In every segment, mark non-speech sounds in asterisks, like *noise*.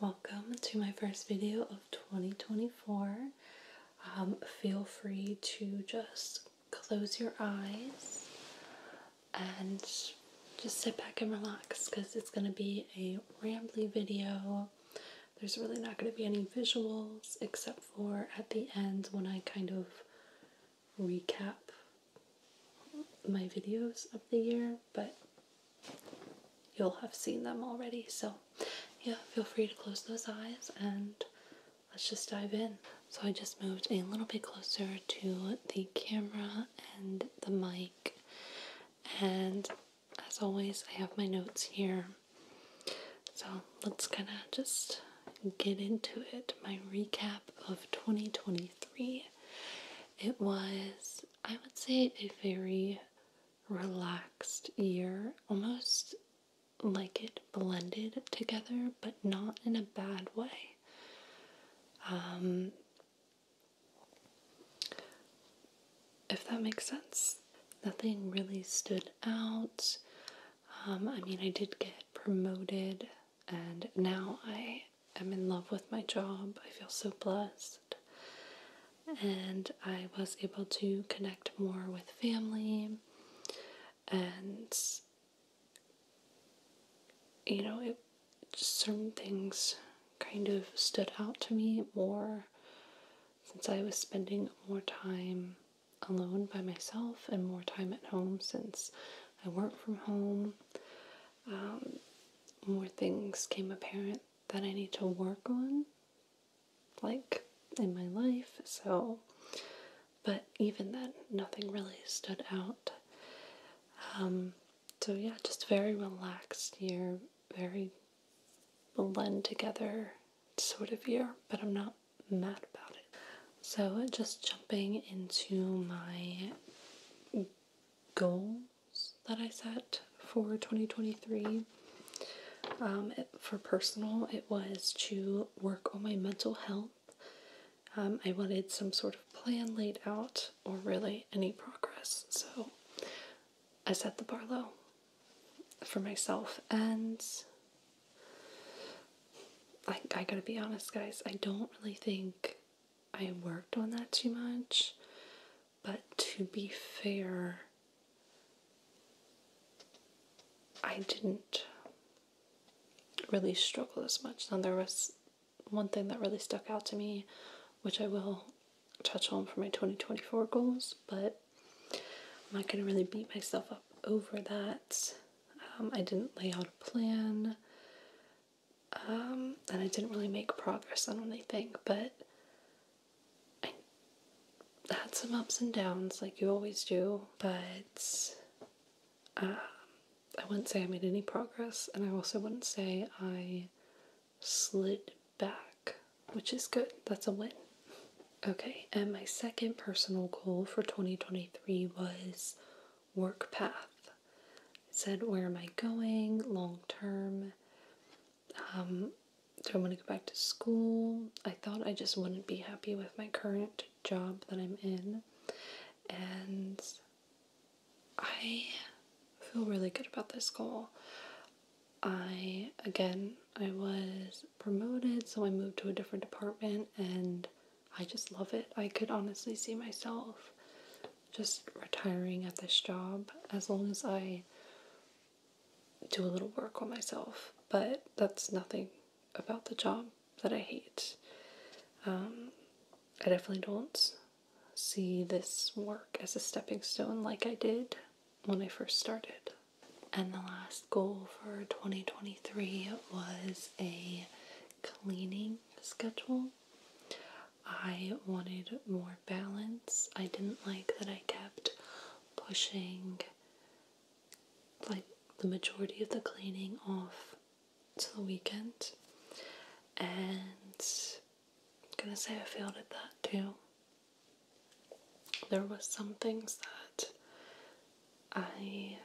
Welcome to my first video of 2024. Um, feel free to just close your eyes and just sit back and relax because it's going to be a rambly video. There's really not going to be any visuals except for at the end when I kind of recap my videos of the year, but you'll have seen them already. So, yeah, feel free to close those eyes and let's just dive in. So, I just moved a little bit closer to the camera and the mic, and as always, I have my notes here. So, let's kind of just get into it. My recap of 2023. It was I would say, a very relaxed year, almost like it blended together, but not in a bad way. Um, if that makes sense, nothing really stood out. Um, I mean, I did get promoted, and now I I am in love with my job. I feel so blessed. And I was able to connect more with family and you know, it, certain things kind of stood out to me more since I was spending more time alone by myself and more time at home since I work from home. Um, more things came apparent that I need to work on, like in my life, so, but even then, nothing really stood out. Um, so, yeah, just very relaxed year, very blend together sort of year, but I'm not mad about it. So, just jumping into my goal that I set for 2023. Um, for personal, it was to work on my mental health. Um, I wanted some sort of plan laid out or really any progress. So I set the bar low for myself. And I, I gotta be honest, guys, I don't really think I worked on that too much. But to be fair, I didn't really struggle as much. Now, there was one thing that really stuck out to me, which I will touch on for my 2024 goals, but I'm not going to really beat myself up over that. Um, I didn't lay out a plan um, and I didn't really make progress on anything, but I had some ups and downs, like you always do, but um, I wouldn't say I made any progress, and I also wouldn't say I slid back, which is good. That's a win. Okay, and my second personal goal for 2023 was work path. It said, Where am I going long term? Um, do I want to go back to school? I thought I just wouldn't be happy with my current job that I'm in. And I feel really good about this goal. I, again, I was promoted, so I moved to a different department, and I just love it. I could honestly see myself just retiring at this job as long as I do a little work on myself. But that's nothing about the job that I hate. Um, I definitely don't see this work as a stepping stone like I did when I first started. And the last goal for 2023 was a cleaning schedule. I wanted more balance. I didn't like that I kept pushing like the majority of the cleaning off to the weekend. And I'm gonna say I failed at that too. There was some things that I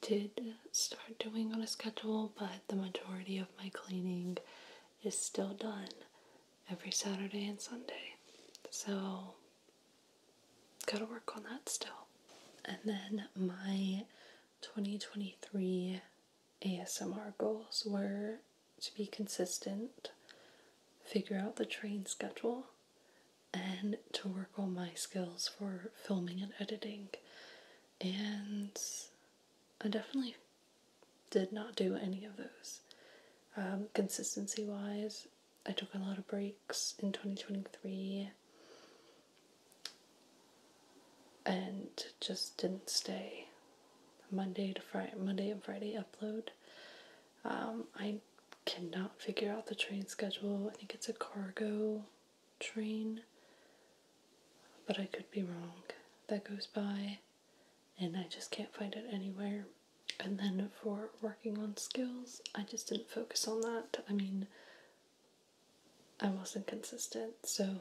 did start doing on a schedule, but the majority of my cleaning is still done every Saturday and Sunday. So, gotta work on that still. And then my 2023 ASMR goals were to be consistent, figure out the train schedule, and to work on my skills for filming and editing. And I definitely did not do any of those. Um, consistency wise, I took a lot of breaks in 2023 and just didn't stay Monday to Friday, Monday and Friday upload. Um, I cannot figure out the train schedule. I think it's a cargo train, but I could be wrong. That goes by and I just can't find it anywhere. And then for working on skills, I just didn't focus on that. I mean, I wasn't consistent, so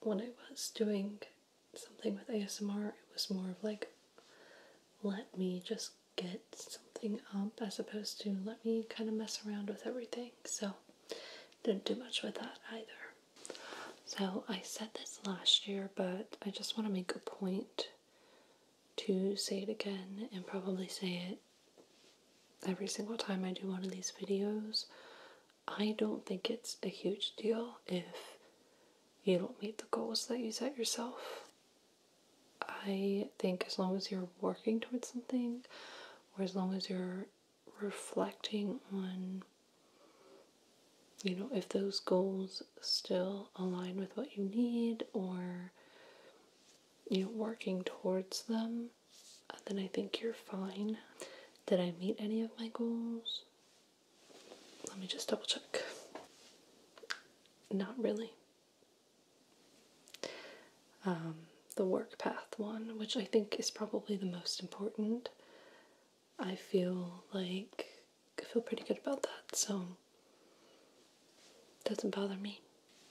when I was doing something with ASMR, it was more of like, let me just get something up as opposed to let me kind of mess around with everything. So, didn't do much with that either. So I said this last year, but I just want to make a point to say it again and probably say it every single time I do one of these videos. I don't think it's a huge deal if you don't meet the goals that you set yourself. I think as long as you're working towards something, or as long as you're reflecting on you know if those goals still align with what you need or you know working towards them uh, then i think you're fine did i meet any of my goals let me just double check not really um, the work path one which i think is probably the most important I feel like I feel pretty good about that, so it doesn't bother me.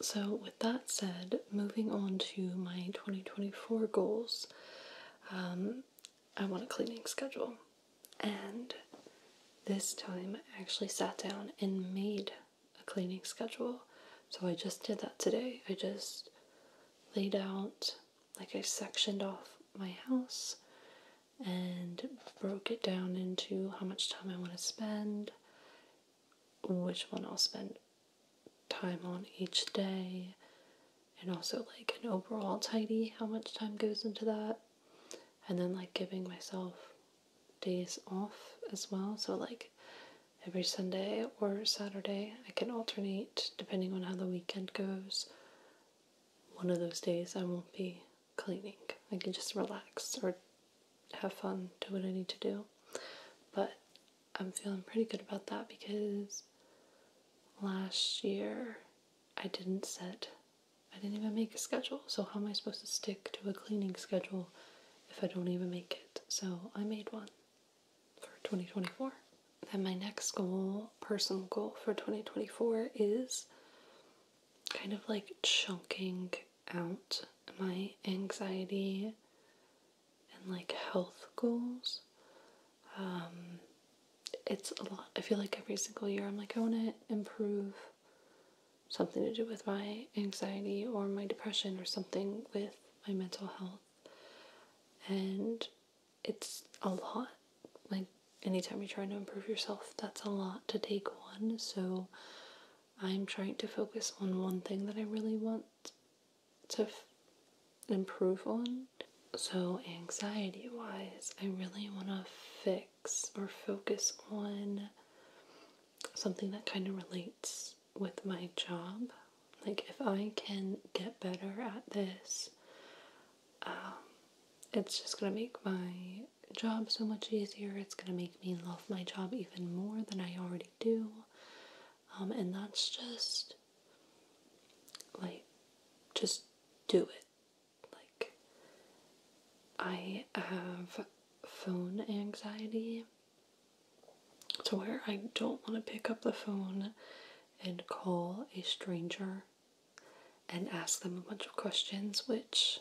So, with that said, moving on to my 2024 goals, um, I want a cleaning schedule. And this time I actually sat down and made a cleaning schedule. So I just did that today. I just laid out like I sectioned off my house and broke it down into how much time I want to spend, which one I'll spend time on each day, and also like an overall tidy, how much time goes into that, and then like giving myself days off as well. So, like every Sunday or Saturday, I can alternate depending on how the weekend goes one of those days I won't be cleaning. I can just relax or have fun, do what I need to do. But I'm feeling pretty good about that because last year I didn't set, I didn't even make a schedule. So, how am I supposed to stick to a cleaning schedule if I don't even make it? So, I made one for 2024. Then my next goal, personal goal for 2024 is kind of like chunking out my anxiety and like health goals. Um, it's a lot. I feel like every single year I'm like, I want to improve something to do with my anxiety or my depression or something with my mental health. And it's a lot. Like anytime you're trying to improve yourself, that's a lot to take on. So I'm trying to focus on one thing that I really want to improve on. So, anxiety wise, I really want to fix or focus on something that kind of relates with my job. Like, if I can get better at this, um, it's just gonna make my job so much easier. It's gonna make me love my job even more than I already do. Um, and that's just like, just do it. Like, I have phone anxiety to where I don't want to pick up the phone and call a stranger and ask them a bunch of questions, which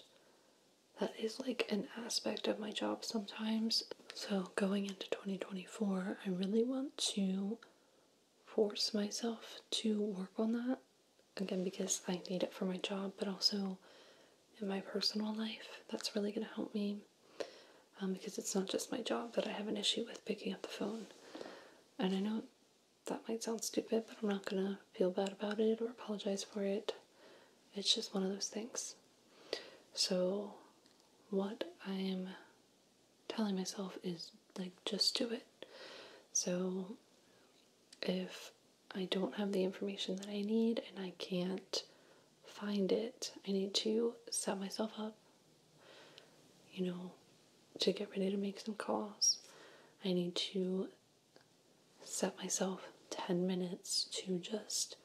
that is like an aspect of my job sometimes. So, going into 2024, I really want to force myself to work on that again because I need it for my job, but also in my personal life. That's really going to help me um, because it's not just my job that I have an issue with picking up the phone. And I know that might sound stupid, but I'm not gonna feel bad about it or apologize for it. It's just one of those things. So, what I am telling myself is like, just do it. So, if I don't have the information that I need and I can't find it, I need to set myself up you know, to get ready to make some calls. I need to set myself 10 minutes to just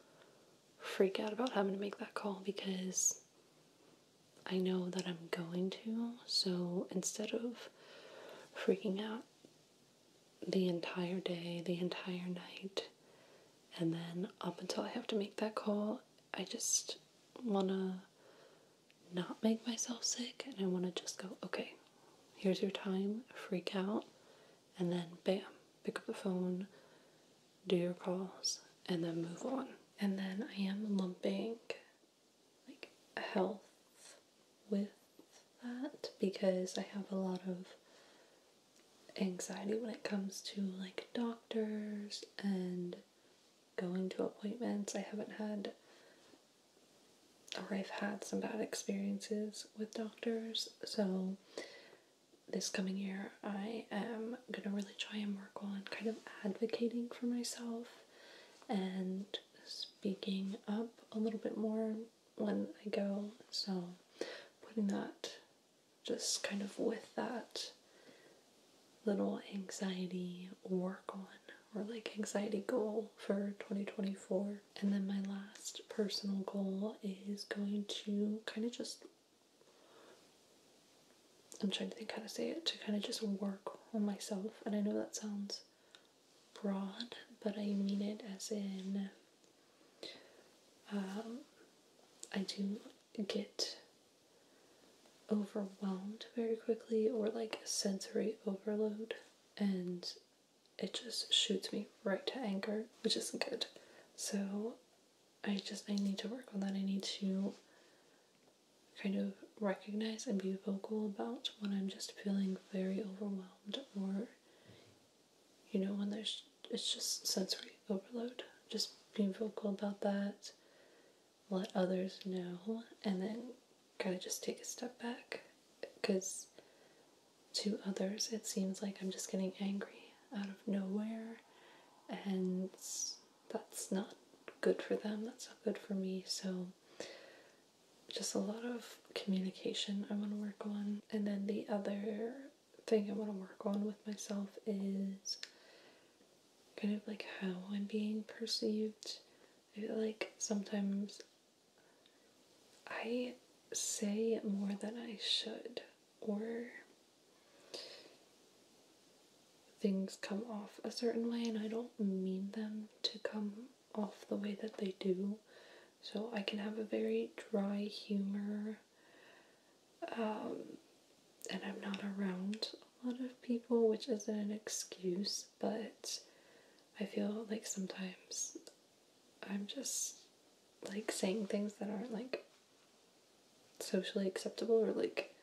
freak out about having to make that call because I know that I'm going to. So instead of freaking out the entire day, the entire night, and then up until I have to make that call, I just want to not make myself sick and I want to just go, okay, here's your time, freak out, and then bam, pick up the phone, do your calls, and then move on. And then I am lumping like health with that because I have a lot of anxiety when it comes to like doctors and going to appointments. I haven't had, or I've had some bad experiences with doctors. So this coming year, I am gonna really try and work on kind of advocating for myself and speaking up a little bit more when I go. So putting that just kind of with that little anxiety work on or like anxiety goal for 2024. And then my last personal goal is going to kind of just I'm trying to think how to say it to kind of just work on myself. And I know that sounds broad, but I mean it as in um, I do get overwhelmed very quickly or like sensory overload and it just shoots me right to anger, which isn't good. So I just I need to work on that. I need to kind of recognize and be vocal about when I'm just feeling very overwhelmed or you know when there's it's just sensory overload. Just be vocal about that let others know, and then kind of just take a step back because to others it seems like I'm just getting angry out of nowhere, and that's not good for them, that's not good for me. So, just a lot of communication I want to work on, and then the other thing I want to work on with myself is kind of like how I'm being perceived. I feel like sometimes I say more than I should, or things come off a certain way, and I don't mean them to come off the way that they do. So I can have a very dry humor, um, and I'm not around a lot of people, which isn't an excuse, but I feel like sometimes I'm just like saying things that aren't like socially acceptable or like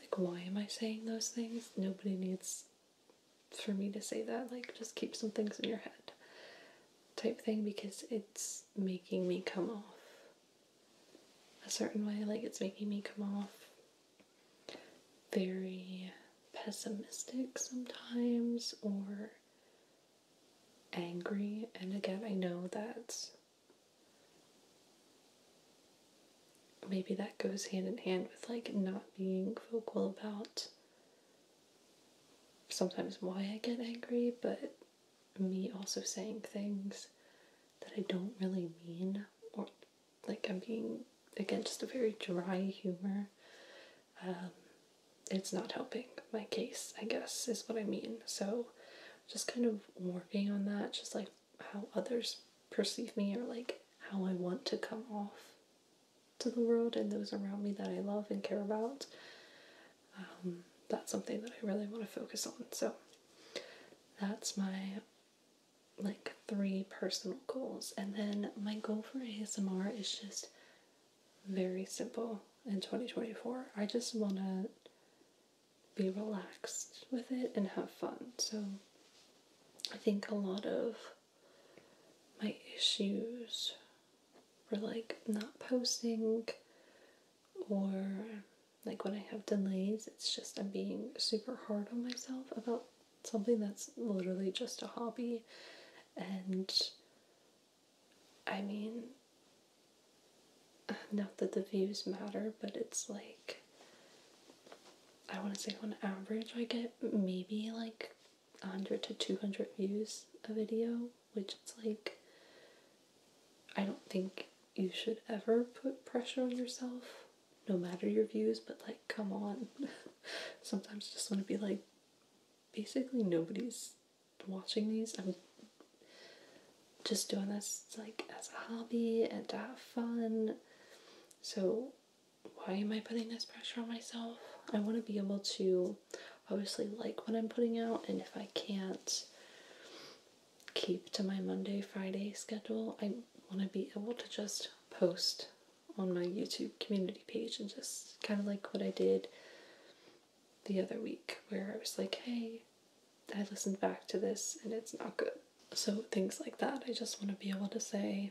like why am I saying those things? Nobody needs for me to say that. Like just keep some things in your head type thing because it's making me come off a certain way, like it's making me come off very pessimistic sometimes or angry. And again, I know that maybe that goes hand in hand with like not being vocal about sometimes why I get angry, but me also saying things that I don't really mean, or like I'm being again just a very dry humor. Um, it's not helping my case, I guess, is what I mean. So, just kind of working on that, just like how others perceive me or like how I want to come off to the world and those around me that I love and care about. Um, that's something that I really want to focus on. So, that's my like three personal goals. And then my goal for ASMR is just very simple in 2024. I just want to be relaxed with it and have fun. So I think a lot of my issues were like not posting or like when I have delays, it's just I'm being super hard on myself about something that's literally just a hobby. And I mean, not that the views matter, but it's like, I want to say on average, I get maybe like 100 to 200 views a video, which it's like, I don't think you should ever put pressure on yourself, no matter your views, but like, come on. *laughs* Sometimes just want to be like, basically, nobody's watching these. I'm just doing this like as a hobby and to have fun. So, why am I putting this pressure on myself? I want to be able to obviously like what I'm putting out, and if I can't keep to my Monday, Friday schedule. I want to be able to just post on my YouTube community page and just kind of like what I did the other week, where I was like, hey, I listened back to this and it's not good. So, things like that. I just want to be able to say,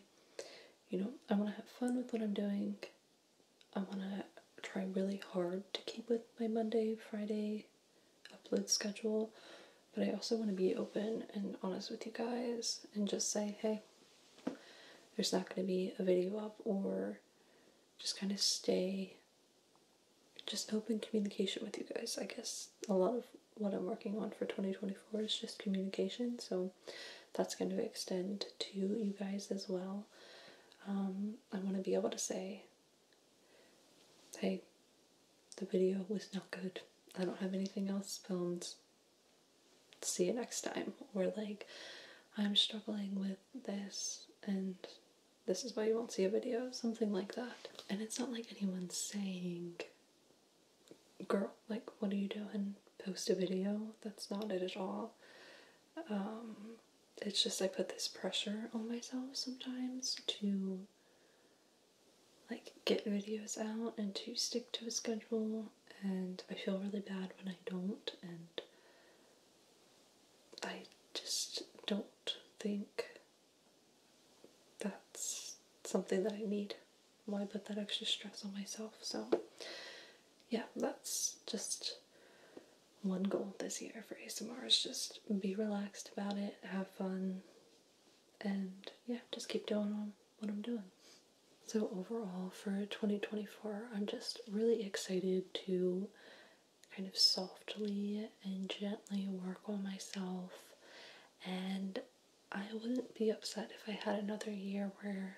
you know, I want to have fun with what I'm doing. I want to try really hard to keep with my Monday, Friday upload schedule, but I also want to be open and honest with you guys and just say, hey, there's not going to be a video up, or just kind of stay just open communication with you guys. I guess a lot of what I'm working on for 2024 is just communication, so that's going to extend to you guys as well. Um, I want to be able to say Hey, the video was not good. I don't have anything else filmed. See you next time. Or, like, I'm struggling with this and this is why you won't see a video, something like that. And it's not like anyone saying, girl, like, what are you doing? Post a video. That's not it at all. Um, it's just I put this pressure on myself sometimes to like get videos out and to stick to a schedule and I feel really bad when I don't and I just don't think that's something that I need. Why put that extra stress on myself? So yeah, that's just one goal this year for ASMR is just be relaxed about it, have fun, and yeah, just keep doing what I'm doing. So, overall, for 2024, I'm just really excited to kind of softly and gently work on myself. And I wouldn't be upset if I had another year where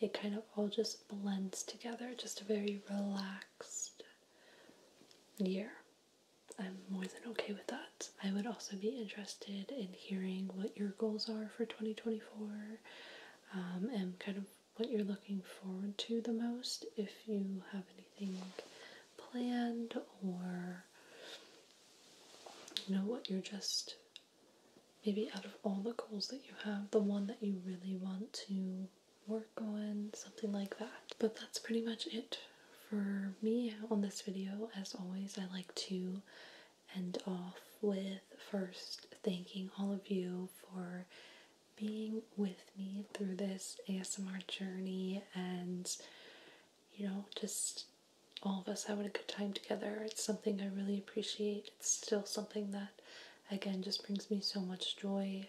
it kind of all just blends together, just a very relaxed year. I'm more than okay with that. I would also be interested in hearing what your goals are for 2024 um, and kind of what you're looking forward to the most if you have anything planned or you know what you're just maybe out of all the goals that you have the one that you really want to work going, something like that. But that's pretty much it for me on this video. As always, I like to end off with first thanking all of you for being with me through this ASMR journey and you know, just all of us having a good time together. It's something I really appreciate. It's still something that, again, just brings me so much joy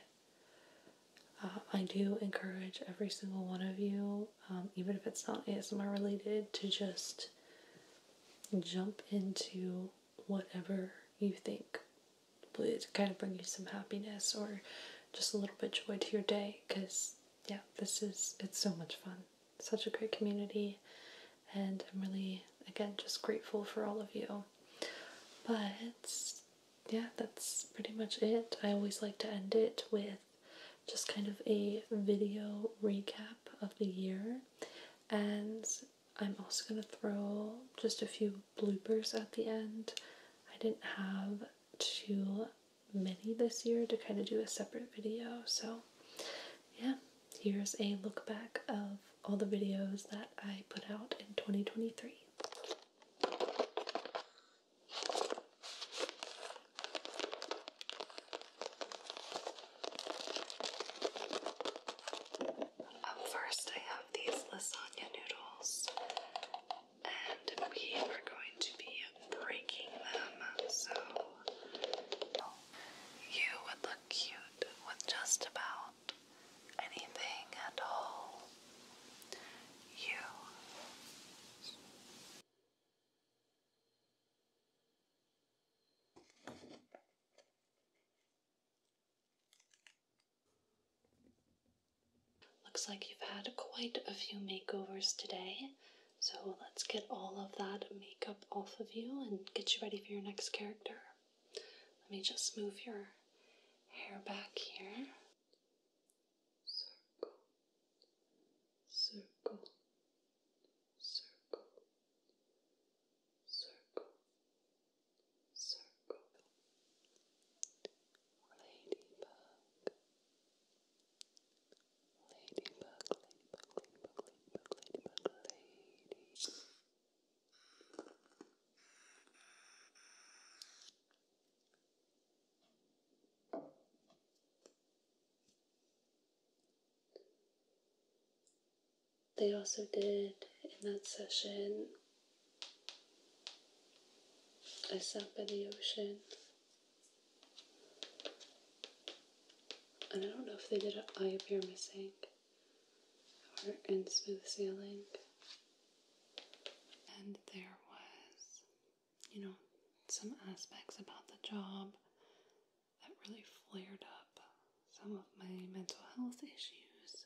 uh, I do encourage every single one of you, um, even if it's not ASMR related, to just jump into whatever you think would kind of bring you some happiness or just a little bit joy to your day because yeah this is it's so much fun such a great community and i'm really again just grateful for all of you but yeah, that's pretty much it. I always like to end it with just kind of a video recap of the year, and I'm also going to throw just a few bloopers at the end. I didn't have too many this year to kind of do a separate video, so yeah, here's a look back of all the videos that I put out in 2023. Um, first, I have these lasagna noodles, and we are going to be breaking them. So, you would look cute with just about anything at all you. Looks like you've had quite a few makeovers today, so let's get all of that makeup off of you and get you ready for your next character. Let me just move your hair back here circle, circle, circle, circle, circle. Ladybug, ladybug, ladybug, ladybug, ladybug, ladybug, lady. They also did in that session a stop by the ocean. And I don't know if they did an eye of your missing or in smooth sailing. And there was you know, some aspects about the job that really flared up some of my mental health issues.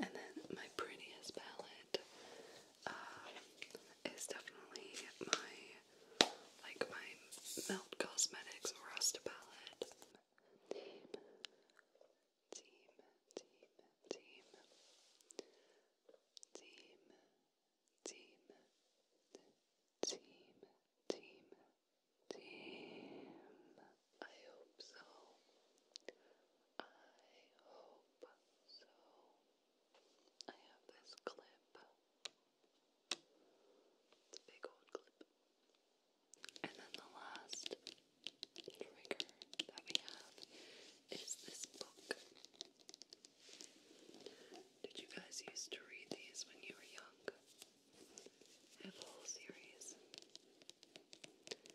And then my prettiest palette um, is definitely my like my Melt Cosmetics Rust palette. Team, team, team, team, team, team, team, team, team. I hope so. I hope so. I have this clip. It's a big old clip. And then the last trigger that we have is this book. Did you guys used to read these when you were young? have a whole series.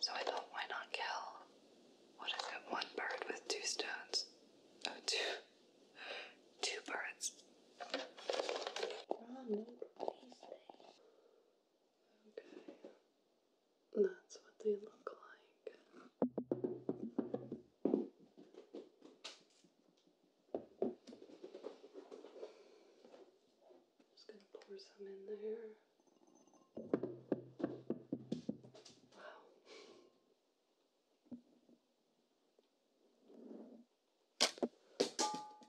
So I thought, why not kill? What if it one bird with two stones? Oh, two, two birds. Okay. That's what they look like. Just gonna pour some in there. Wow.